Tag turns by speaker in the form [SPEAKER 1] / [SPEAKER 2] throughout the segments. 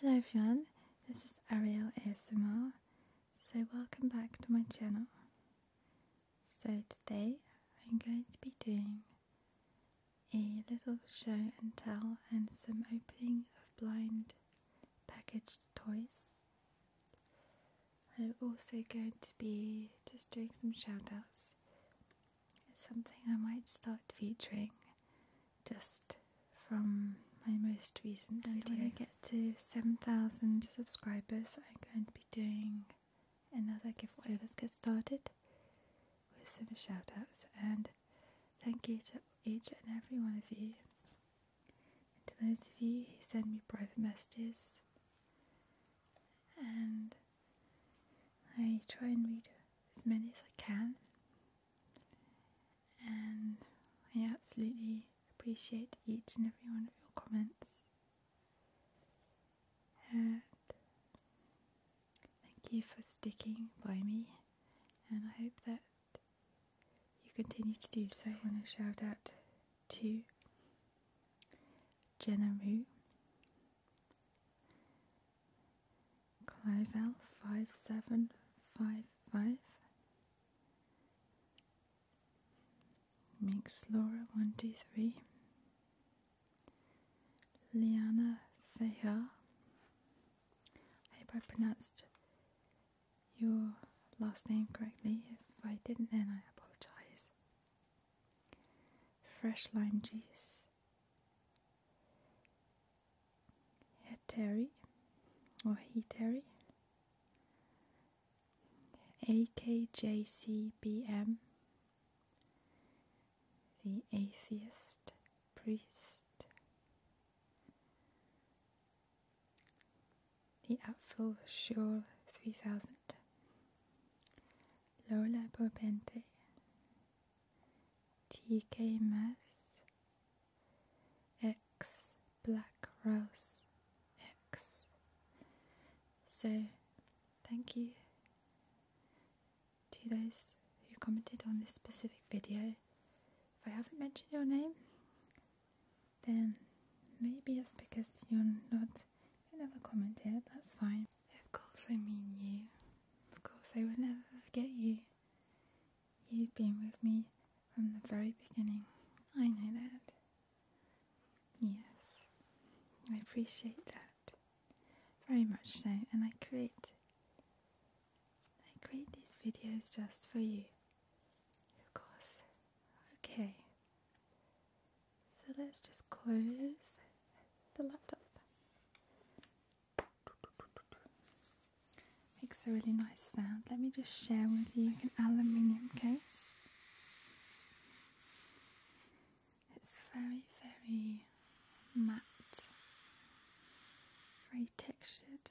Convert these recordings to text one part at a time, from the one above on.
[SPEAKER 1] Hello everyone, this is Ariel ASMR. So welcome back to my channel. So today I'm going to be doing a little show and tell and some opening of blind packaged toys I'm also going to be just doing some shoutouts. It's something I might start featuring just from my most recent and oh, video. When I get to 7,000 subscribers, I'm going to be doing another giveaway. let's get started with some shoutouts and thank you to each and every one of you to those of you who send me private messages, and I try and read as many as I can, and I absolutely appreciate each and every one of your comments. And thank you for sticking by me, and I hope that you continue to do so. I want to shout out to Jenna Moo, Clive L five seven five five, Minx Laura one two three, Liana Feha. I hope I pronounced your last name correctly. If I didn't, then I apologize. Fresh lime juice, heteri or He Terry. AKJCBM, the atheist priest, the Apfel Schule 3000. Lola Bobente. TK Mas. X Black Rose X. So, thank you to those who commented on this specific video. If I haven't mentioned your name, then maybe it's because you're not, you never commented, that's fine. Of course I mean you. Of course I will never forget you. You've been with me from the very beginning. I know that. Yes, I appreciate that. Very much so, and I create I create these videos just for you. Of course. Okay. So let's just close the laptop. Makes a really nice sound. Let me just share with you an aluminium case. It's very, very matte, very textured.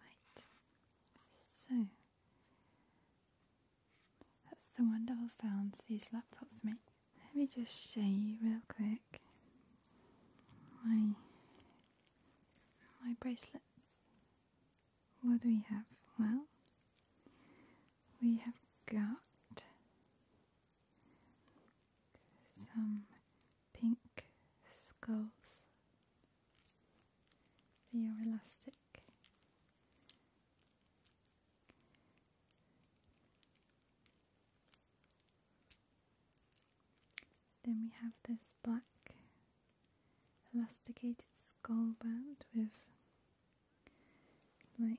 [SPEAKER 1] Right, so that's the wonderful sounds these laptops make. Let me just show you real quick my my bracelets. What do we have? Well, we have got some pink skulls. They are elastic. Then we have this black elasticated skull band with like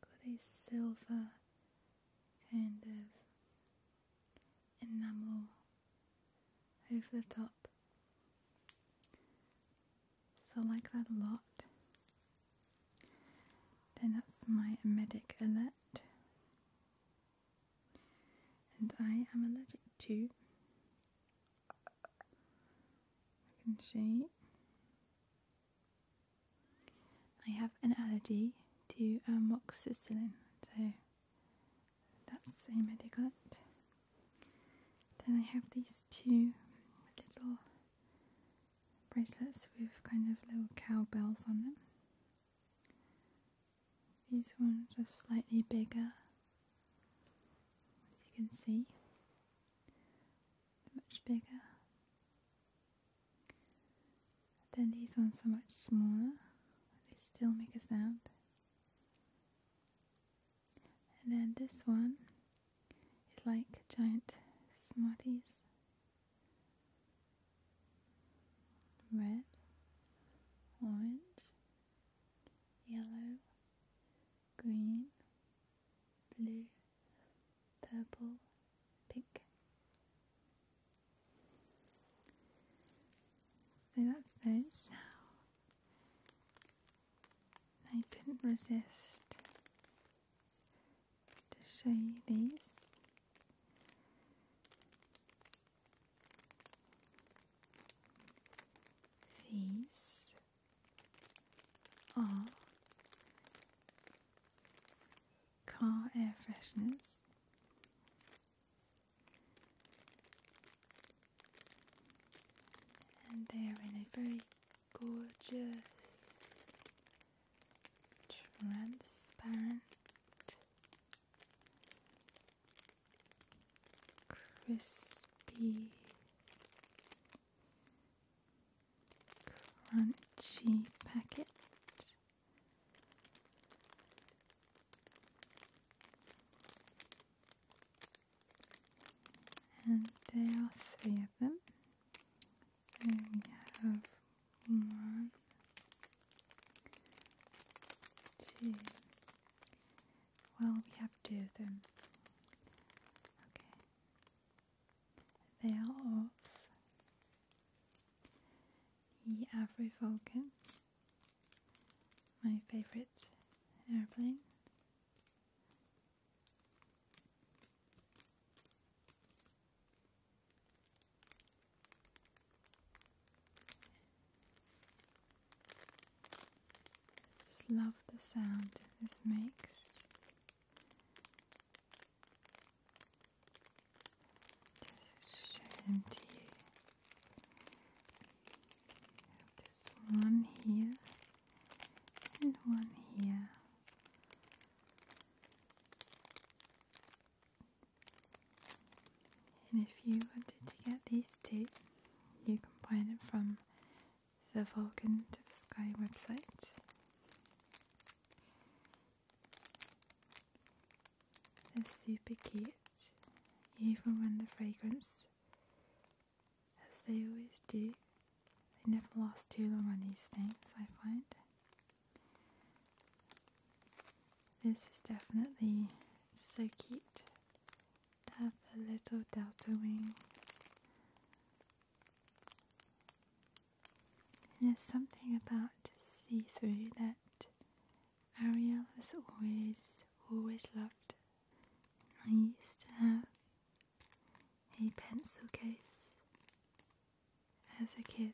[SPEAKER 1] got a silver kind of enamel over the top. So I like that a lot. Then that's my medic alert. And I am allergic to I can see I have an allergy to um, amoxicillin, so that's a medicament. Then I have these two little bracelets with kind of little cowbells on them. These ones are slightly bigger, as you can see much bigger. than these ones are much smaller. They still make a sound. And then this one is like giant Smarties. Red, orange, yellow, green, blue, purple, pink. So that's those. I couldn't resist to show you these. These are uh-huh. car air fresheners. And they are in a very gorgeous, transparent, crispy Crunchy packet. And there are three of them. So we have one, two, well, we have two of them. Okay. They are of the Afro-Vulcan, my favourite airplane. I just love the sound this makes. Just show to you. Just one here and one here. And if you wanted to get these two, you can buy them from the Vulcan to Sky website. They're super cute. You even run the fragrance as they always do. They never last too long on these things, I find. This is definitely so cute have a little delta wing. And there's something about see through that Ariel has always, always loved. I used to have a pencil case as a kid.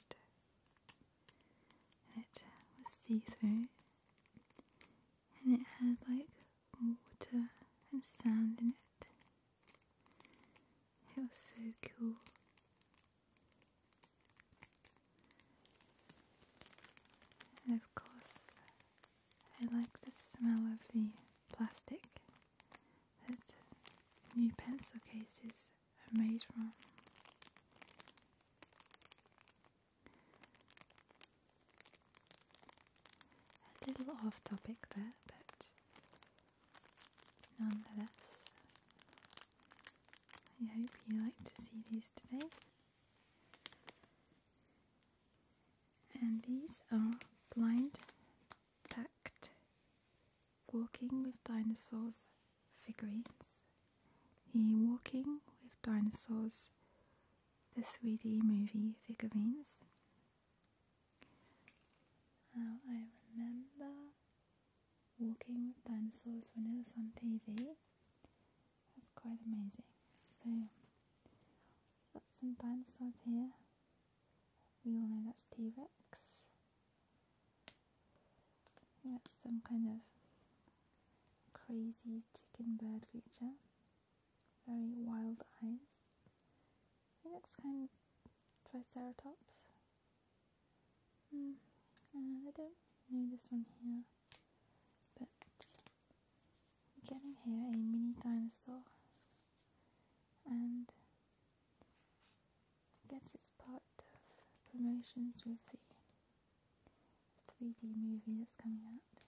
[SPEAKER 1] It was see through and it had like water and sand in it. It was so cool. And of course, I like the smell of the plastic that new pencil cases are made from. A little off topic there, but nonetheless, I hope you like to see these today. And these are blind packed walking with dinosaurs figurines. The walking with dinosaurs the 3D movie figurines. Now I remember walking with dinosaurs when it was on TV. That's quite amazing. So got some dinosaurs here. We all know that's T-Rex. That's some kind of crazy chicken bird creature very wild eyes. He looks kind of triceratops. Mm, I don't know this one here, but getting here a mini dinosaur and guess its part of promotions with the 3D movie that's coming out.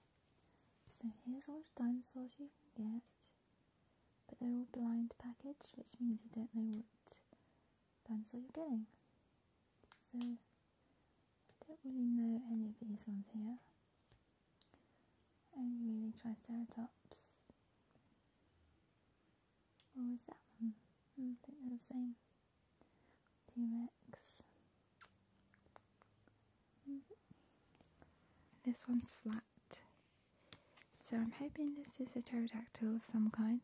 [SPEAKER 1] So here's all the dinosaurs you can get, but they're all blind package, which means you don't know what dinosaur you're getting. So I don't really know any of these ones here. Only really Triceratops. Or is that one? Hmm, I think they're the same. T-Rex. This one's flat. So I'm hoping this is a pterodactyl of some kind.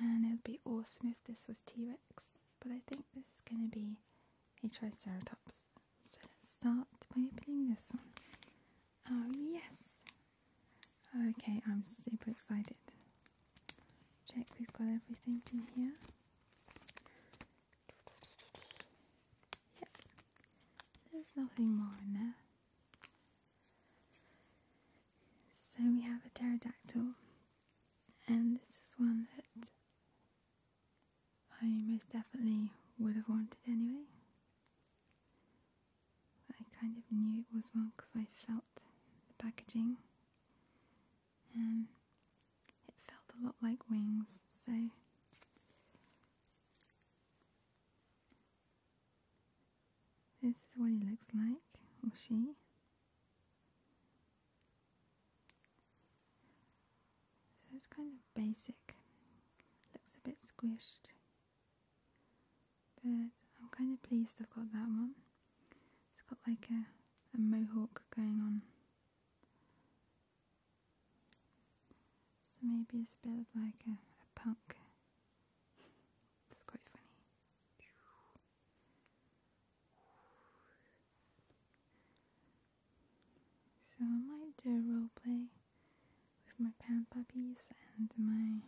[SPEAKER 1] And it would be awesome if this was T-Rex. But I think this is going to be a Triceratops. So let's start by opening this one. Oh yes! Okay, I'm super excited. Check we've got everything in here. Yep. There's nothing more in there. So we have a pterodactyl, and this is one that I most definitely would have wanted anyway. I kind of knew it was one because I felt the packaging it felt a lot like wings, so this is what he looks like, or she. So it's kind of basic, looks a bit squished, but I'm kind of pleased I've got that one. It's got like a mohawk going on so maybe it's a spelled like a, punk. it's quite funny. So I might do a role play with my pan puppies and my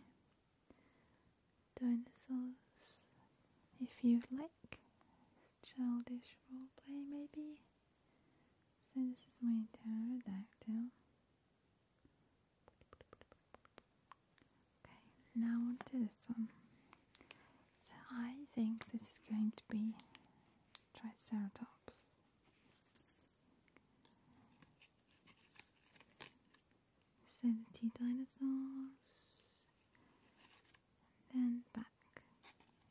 [SPEAKER 1] dinosaurs if you'd like childish role play, maybe. So this is my pterodactyl. Okay, now on to this one. So I think this is going to be Triceratops. So the two dinosaurs then back.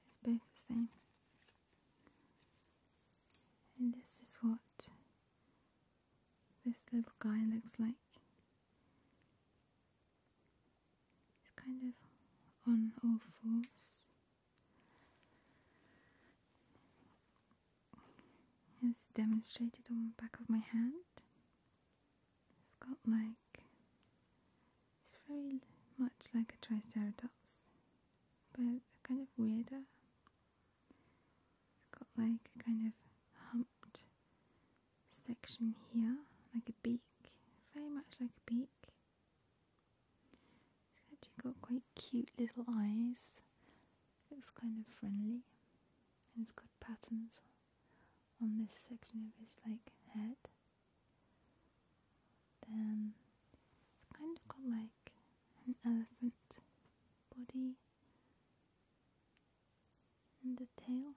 [SPEAKER 1] It's both the same. And this is what this little guy looks like. He's kind of on all fours. As demonstrated on the back of my hand. It's got like it's very much like a triceratops, but kind of weirder. It's got like a kind of humped section here, like a beak, very much like a beak. It's actually got quite cute little eyes. Looks kind of friendly, and it's got patterns on this section of his like head. Then it's kind of got like an elephant body and the tail.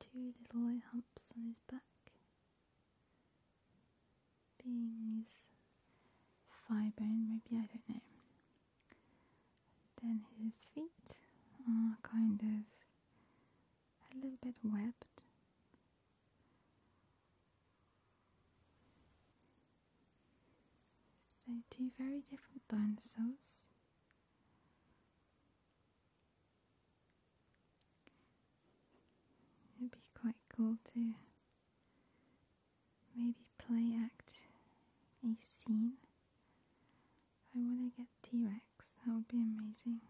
[SPEAKER 1] Two little light humps on his back being his thigh bone, maybe I don't know. Then his feet are kind of a little bit webbed. So, two very different dinosaurs. It'd be quite cool to maybe play act a scene I want to get T-Rex. That would be amazing.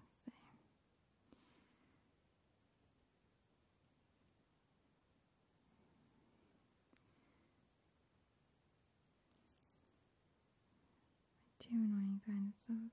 [SPEAKER 1] Two annoying dinosaurs.